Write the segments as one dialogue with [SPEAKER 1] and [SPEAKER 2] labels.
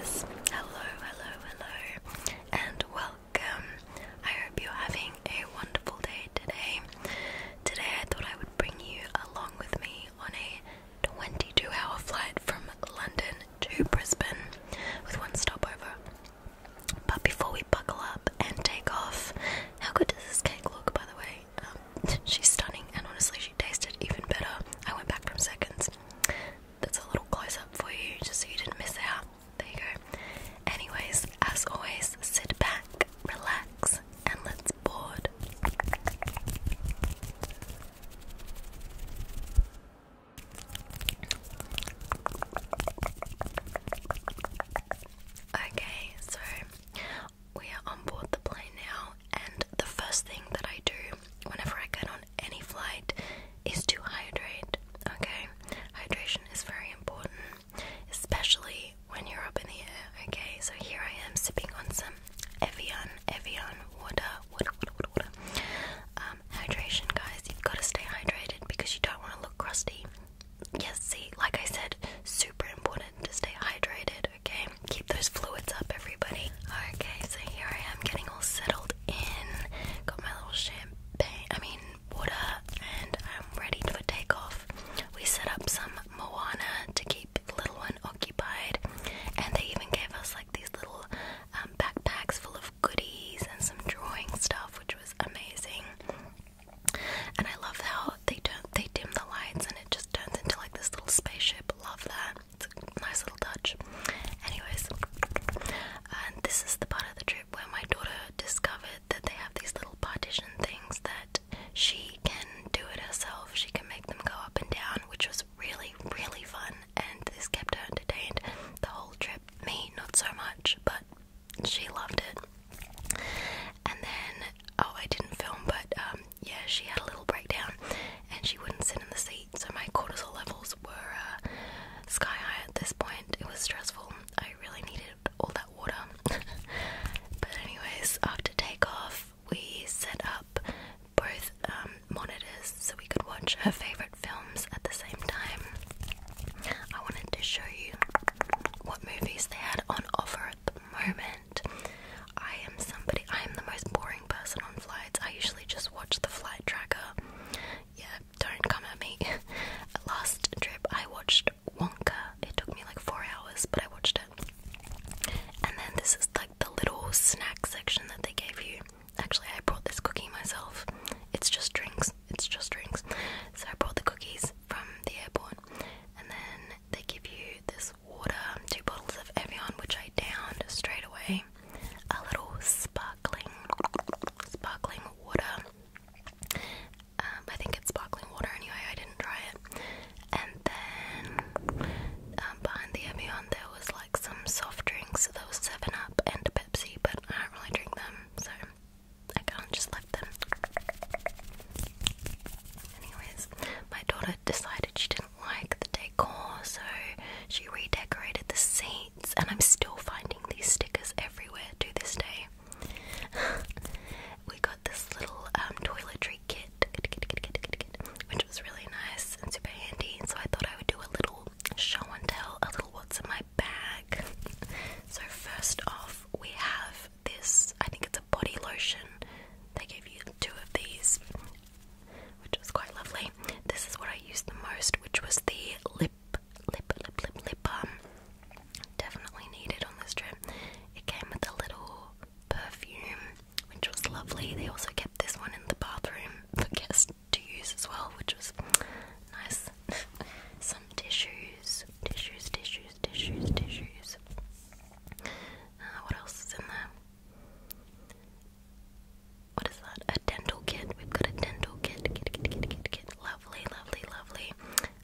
[SPEAKER 1] Hello, hello, hello, and welcome. I hope you're having a wonderful day today. Today, I thought I would bring you along with me on a 22 hour flight from London to Brisbane with one stopover. But before we buckle up and take off, how good does this cake look, by the way? Um, she's stunning, and honestly, she tasted even better. I went back from seconds. That's a little close up for you, just so you didn't miss out. There you go. Anyways, as always, sit back, relax, and let's board. Okay, so we are on board the plane now, and the first thing that I do whenever I get on any flight is to hydrate. Okay, hydration is very important, especially when you're up in the air. Okay, so here I am sipping on some Evian, Evian water, water, water, water, water. Um, hydration, guys, you've got to stay hydrated because you don't want to look crusty. Yes, see, like I said, super important to stay hydrated, okay? Keep those fluids up, everybody. Okay, so here I am getting all settled in. Got my little champagne, I mean, water, and I'm ready for takeoff. We set up some Moana to keep the little one occupied, and they even gave us like these little um, backpacks full of goodies and some drawing stuff, which was amazing. And I love how Oh, they do they dim the lights and it just turns into like this little spaceship. Love that. It's a nice little touch. Anyways, and this is the part of the trip where my daughter discovered that they have these little partition things that she can do it herself. She can make them go up and down, which was really, really fun and this kept her entertained the whole trip. Me, not so much, but she loved it. And then, oh, I didn't film, but um, yeah, she had a little breakdown and she wouldn't sit in the seat, so my cortisol levels were uh, sky high at this point. It was stressful. I really needed all that water. but, anyways, after takeoff, we set up both um, monitors so we could watch her favorite films at the same time. I wanted to show you what movies they had on offer the moment. I am somebody, I am the most boring person on flights. I usually just watch the flight tracker. Yeah, don't come at me. Last trip, I watched Wonka. It took me like four hours, but I watched it. And then this is like the little snack section that they gave you. Actually, I brought this cookie myself. It's just drinks. It's just drinks. So I brought the cookies from the airport. And then they give you this water, two bottles of Evian, which I downed straight away. A little sparkling, sparkling water. Um, I think it's sparkling water anyway. I didn't try it. And then um, behind the Evian, there was like some soft drinks. There was Seven Up and Pepsi, but I don't really drink them, so I can't just let them. Anyways, my daughter decided she didn't like the decor, so she redecorated the seats, and I'm still finding these stickers everywhere to this day. we got this little um, toiletry kit, which was really nice and super handy, so I thought I would do a little show and tell, a little what's in my bag. so, first off, we have this. I think it's a body lotion. They gave you two of these, which was quite lovely. This is what I used the most, which was the lip, lip, lip, lip, lip balm. Definitely needed on this trip. It came with a little perfume, which was lovely. They also kept this one in the bathroom for guests to use as well, which was nice. Some tissues, tissues, tissues, tissues, tissues. Uh, what else is in there? What is that? A dental kit. We've got a dental kit. Kit, kit, kit, kit, kit. Lovely, lovely, lovely.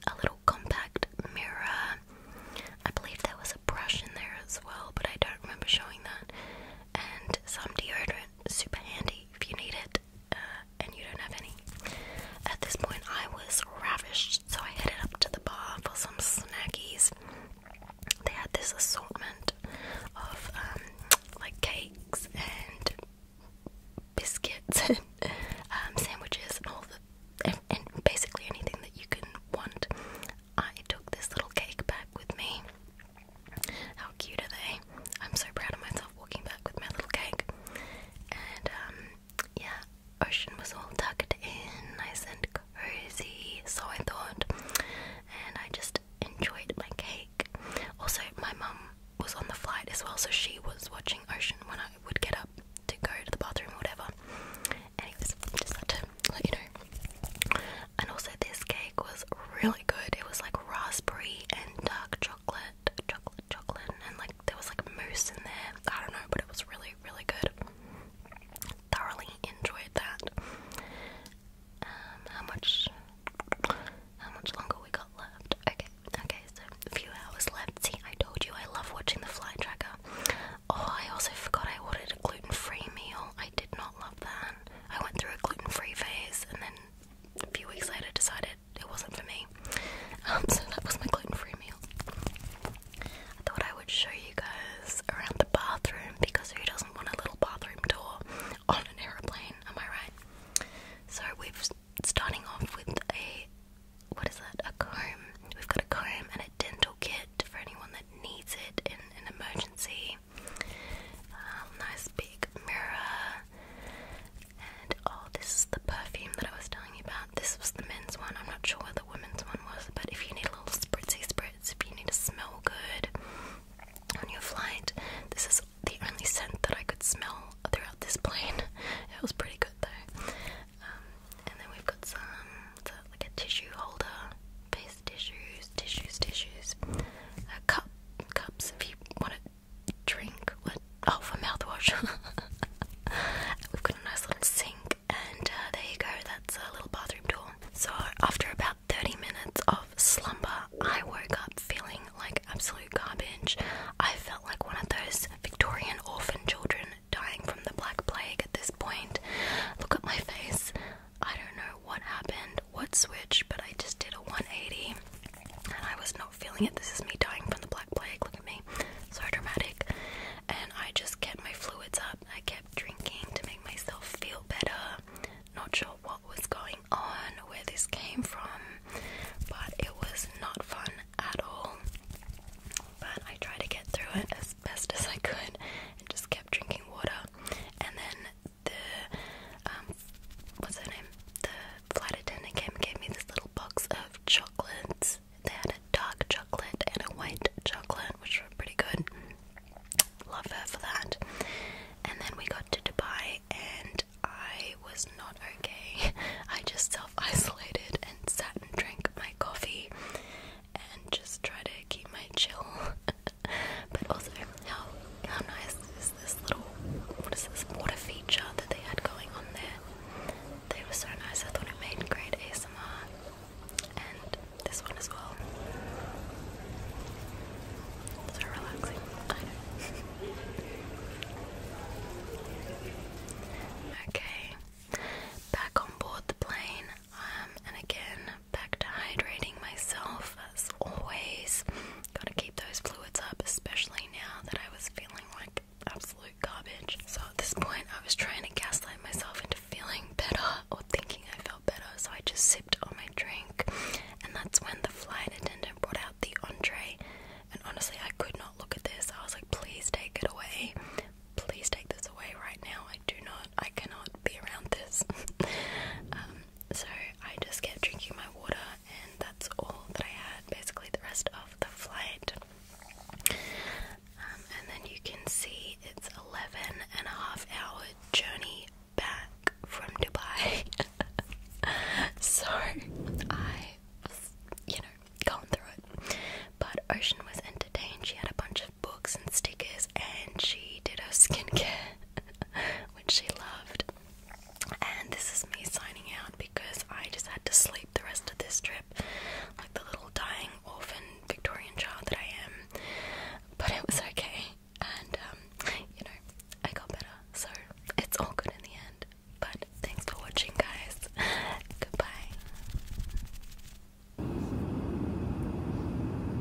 [SPEAKER 1] A little compact mirror. I believe there was a brush in there as well, but I don't remember showing that. And some deodorant. Super handy if you need it and you don't have any. At this point, I was ravished, so I headed up to the bar for some snackies. They had this assortment of um, like cakes and biscuits and um, sandwiches and all the and, basically anything that you can want. I took this little cake back with me. How cute are they? I'm so proud of myself walking back with my little cake. And um, yeah, ocean was all tucked in, nice and cozy, so I thought, and I just enjoyed my cake. Also, my mum was on the flight as well, so she was watching Ocean when I would get up to go to the bathroom or whatever. Anyways, just had to let you know. And also, this cake was really good. It was like raspberry and dark chocolate chocolate, chocolate, chocolate, and like there was like moose in there. I don't know, but it was really, really good. Thoroughly enjoyed that. Um, how much? How much longer we got left? Okay, okay, so a few hours left. See, I told you I love watching the flight tracker. Oh, I also forgot I ordered a gluten-free meal. I did not love that. I went through a gluten-free phase, and then a few weeks later decided it wasn't for me. Um, so that was my gluten-free meal. I thought I would show you guys around the bathroom because who doesn't want a little bathroom tour on an aeroplane? Am I right? So we've starting off with a what is that? A comb. We've got a comb and a dental kit for anyone that needs it in an emergency. Um, nice big mirror. And oh, this is the perfume that I was telling you about. This was the men's one. I'm not sure what the women's one was, but if you need a little spritzy spritz, if you need to smell good on your flight, this is the only scent that I could smell throughout this plane. It was pretty good though. Um, and then we've got some like a tissue holder, paste tissues, tissues, tissues, a uh, cup, cups if you want it drink what oh for mouthwash we've got a nice little sink and uh, there you go that's a little bathroom door so after about 30 minutes of slumber i woke up feeling like absolute garbage i felt like one of those victorian orphan children dying from the black plague at this point look at my face i don't know what happened what switch, but i just did a 180 and I was not feeling it. This is me dying from the black plague. Look at me, so dramatic. And I just kept my fluids up. I kept drinking to make myself feel better. Not sure what was going on, where this came from, but it was not fun at all. But I tried to get through it as best as I could and just kept drinking water. And then the um what's her name? The flight attendant came and gave me this little box of chocolates. They had a dark chocolate and a white chocolate, which were pretty good. Love her for that. And then we got to Dubai and I was not okay. I just self isolated and sat and drank my coffee and just tried to keep my chill. but also, how how nice is this little what is this water feature that they had going on there? They were so nice. I thought it made great ASMR, and this one as well. So relaxing. okay, back on board the plane. Um, and again, back to hydrating myself as always. Gotta keep those fluids up, especially now that I was feeling like absolute garbage. So at this point, I was trying to gaslight myself into feeling better or thinking I felt better, so I just sipped on my drink. And that's when the flight attendant brought out the entree. And honestly, I could not look at this. I was like, please take it away. Please take this away right now. I do not, I cannot be around this. Um, so I just kept drinking my water, and that's all that I had basically the rest of the flight. Um, and then you can see it's 11 and a half hour journey back from Dubai. so I was, you know, going through it. But Ocean was entertained. She had a bunch of books and stickers, and she did her skincare which she loved. And this is me signing out because I just had to sleep the rest of this trip, like the little dying orphan Victorian child that I am. But it was okay, and um, you know, I got better, so it's all good in the end. But thanks for watching, guys. Goodbye.